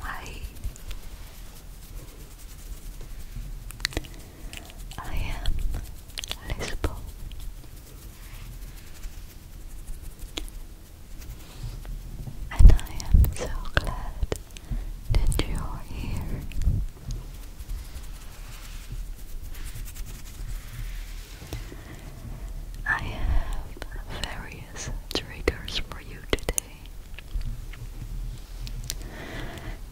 Hi, I am Lisbon. And I am so glad that you are here. I have various triggers for you today,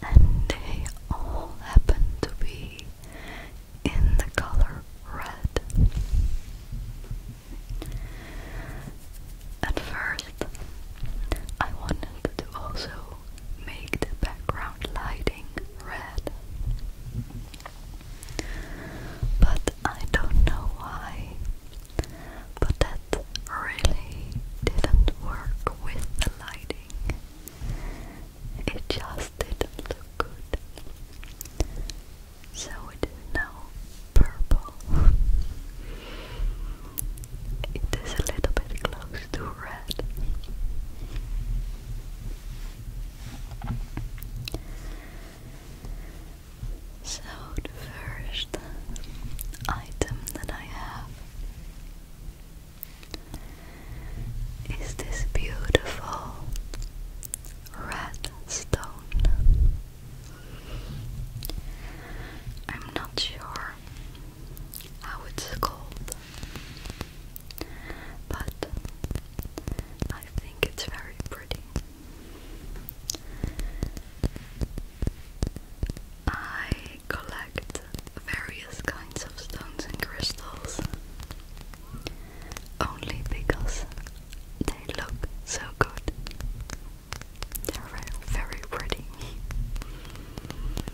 and they all happen to be in the color red. At first, I wanted to also make the background lighting red. But I don't know why, but that really didn't work with the lighting. It just didn't look good. So it is now purple. It is a little bit close so the first item that I have is this beautiful red stone. I'm not sure how it's called, but I think it's very pretty. I collect various kinds of stones and crystals only because they look so good. They're very, pretty.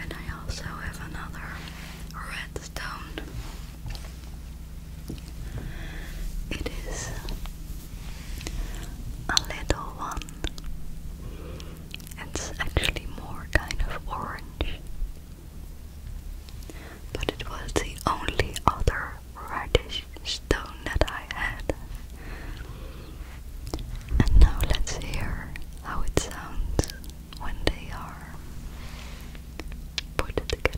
And I also have another redstone. It is a little one. It's actually more kind of orange. But it was the only other radish stone that I had. And now let's hear how it sounds when they are put together.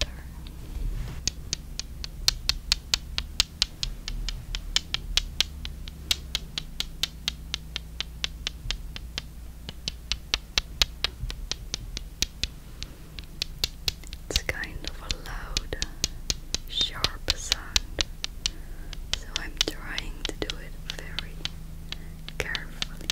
It's kind of a loud, sharp sound, so I'm trying to do it very carefully.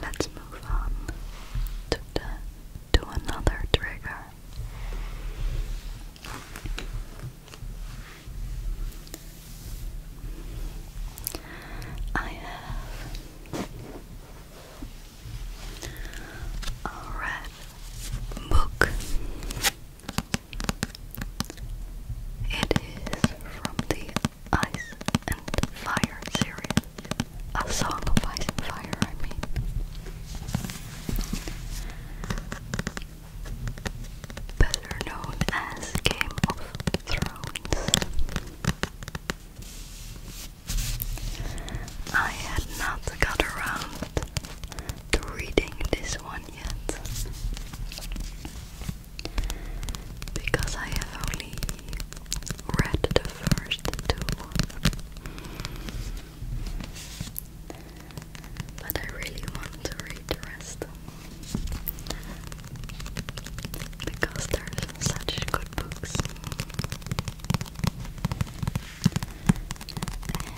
Let's move on to to another trigger. I have a red book. It is from the Ice and Fire series. A Song of Ice and Fire, I mean. Better known as Game of Thrones. I had not got around to reading this one yet because I have only read the first two. But I really want to read the rest because there's such good books.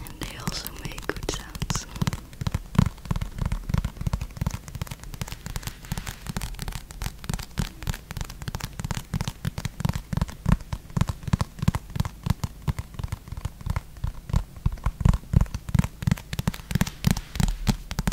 And they also make good sounds.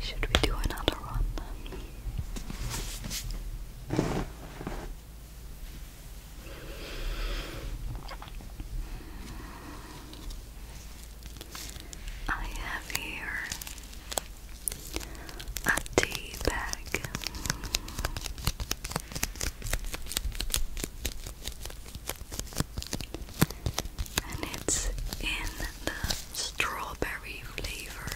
Should we do another one? I have here a tea bag. And it's in the strawberry flavor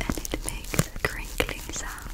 and it's it makes crinkling sound.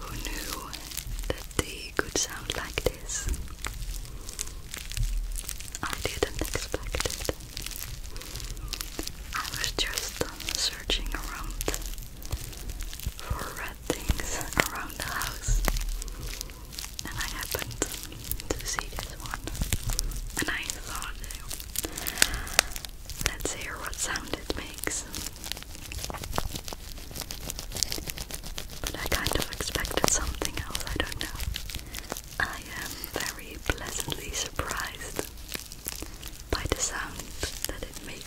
Who knew that they could sound like this? I didn't expect it. I was just searching around for red things around the house. And I happened to see this one. And I thought, let's hear what sound it makes. But I kind of expected something else, I don't know. I am very pleasantly surprised by the sound that it makes.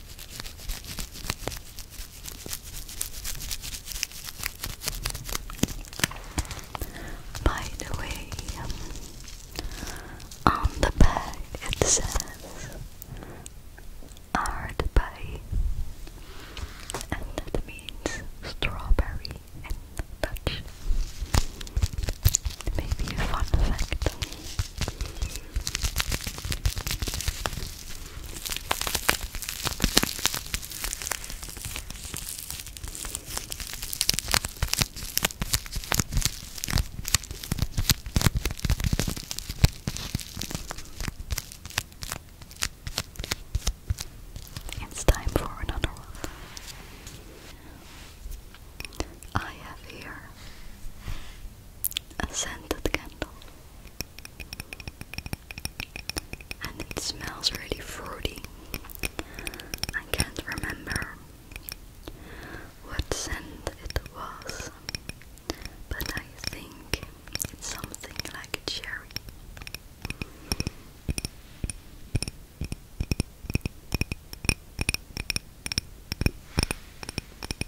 By the way, um, on the back it says art and that means strawberry in Dutch. Maybe a fun fact. It's time for another I have here a scented candle. And it smells really fruity. I can't remember what scent it was, but I think it's something like a cherry.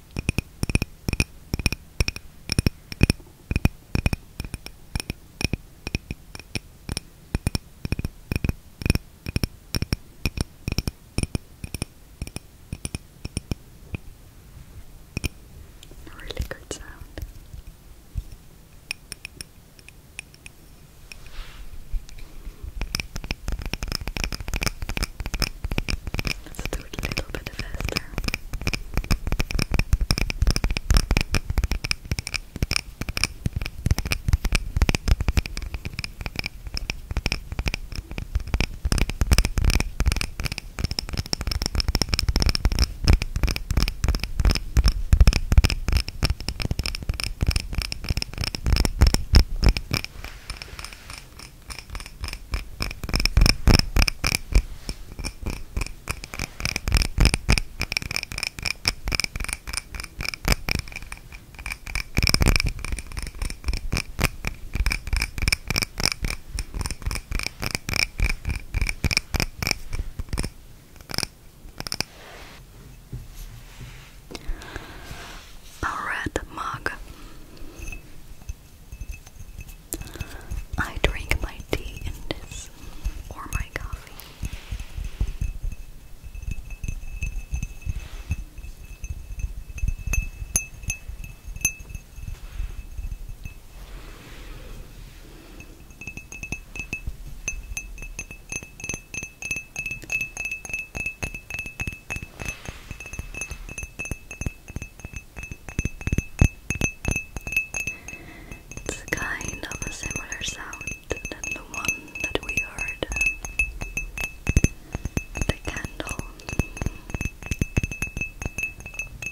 A really good sound. Let's do it a little bit faster. A red mug. I drink my tea in this or my coffee. It's kind of a similar sound than the one that we heard. The candle.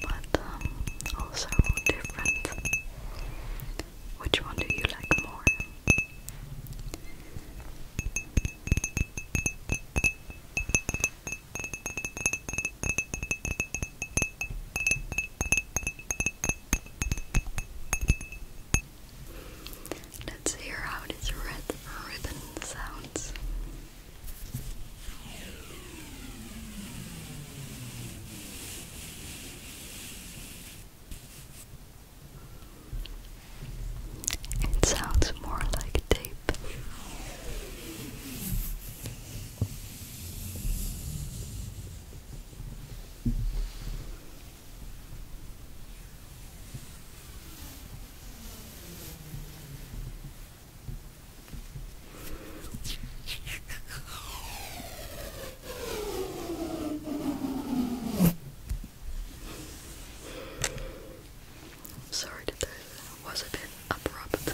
But um, also different. Which one do you like more? Let's hear how this red ribbon sounds. It sounds more like tape. I'm sorry that that was a bit abrupt.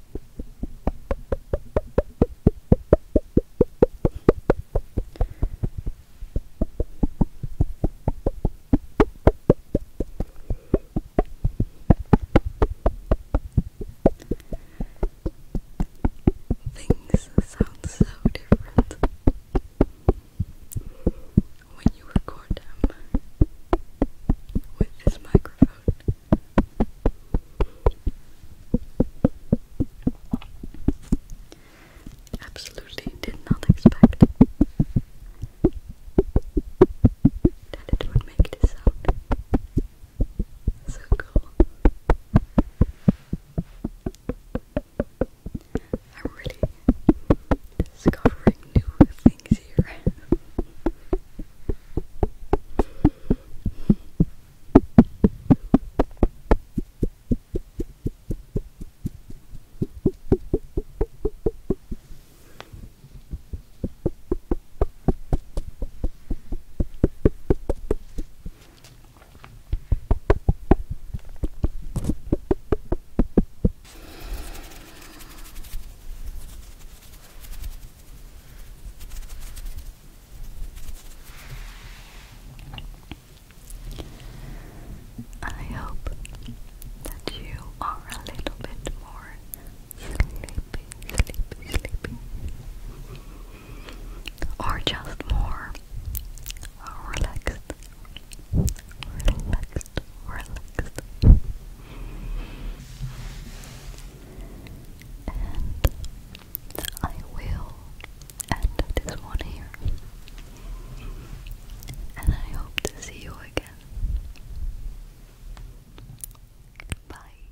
Things sound so different when you record them with this microphone. Absolutely did not expect that it would make this sound. So cool. I'm really discovering new things easier. I hope that you are a little bit more sleepy, sleepy, sleepy, or just more relaxed, relaxed, relaxed. And I will end this one here. And I hope to see you again. Bye.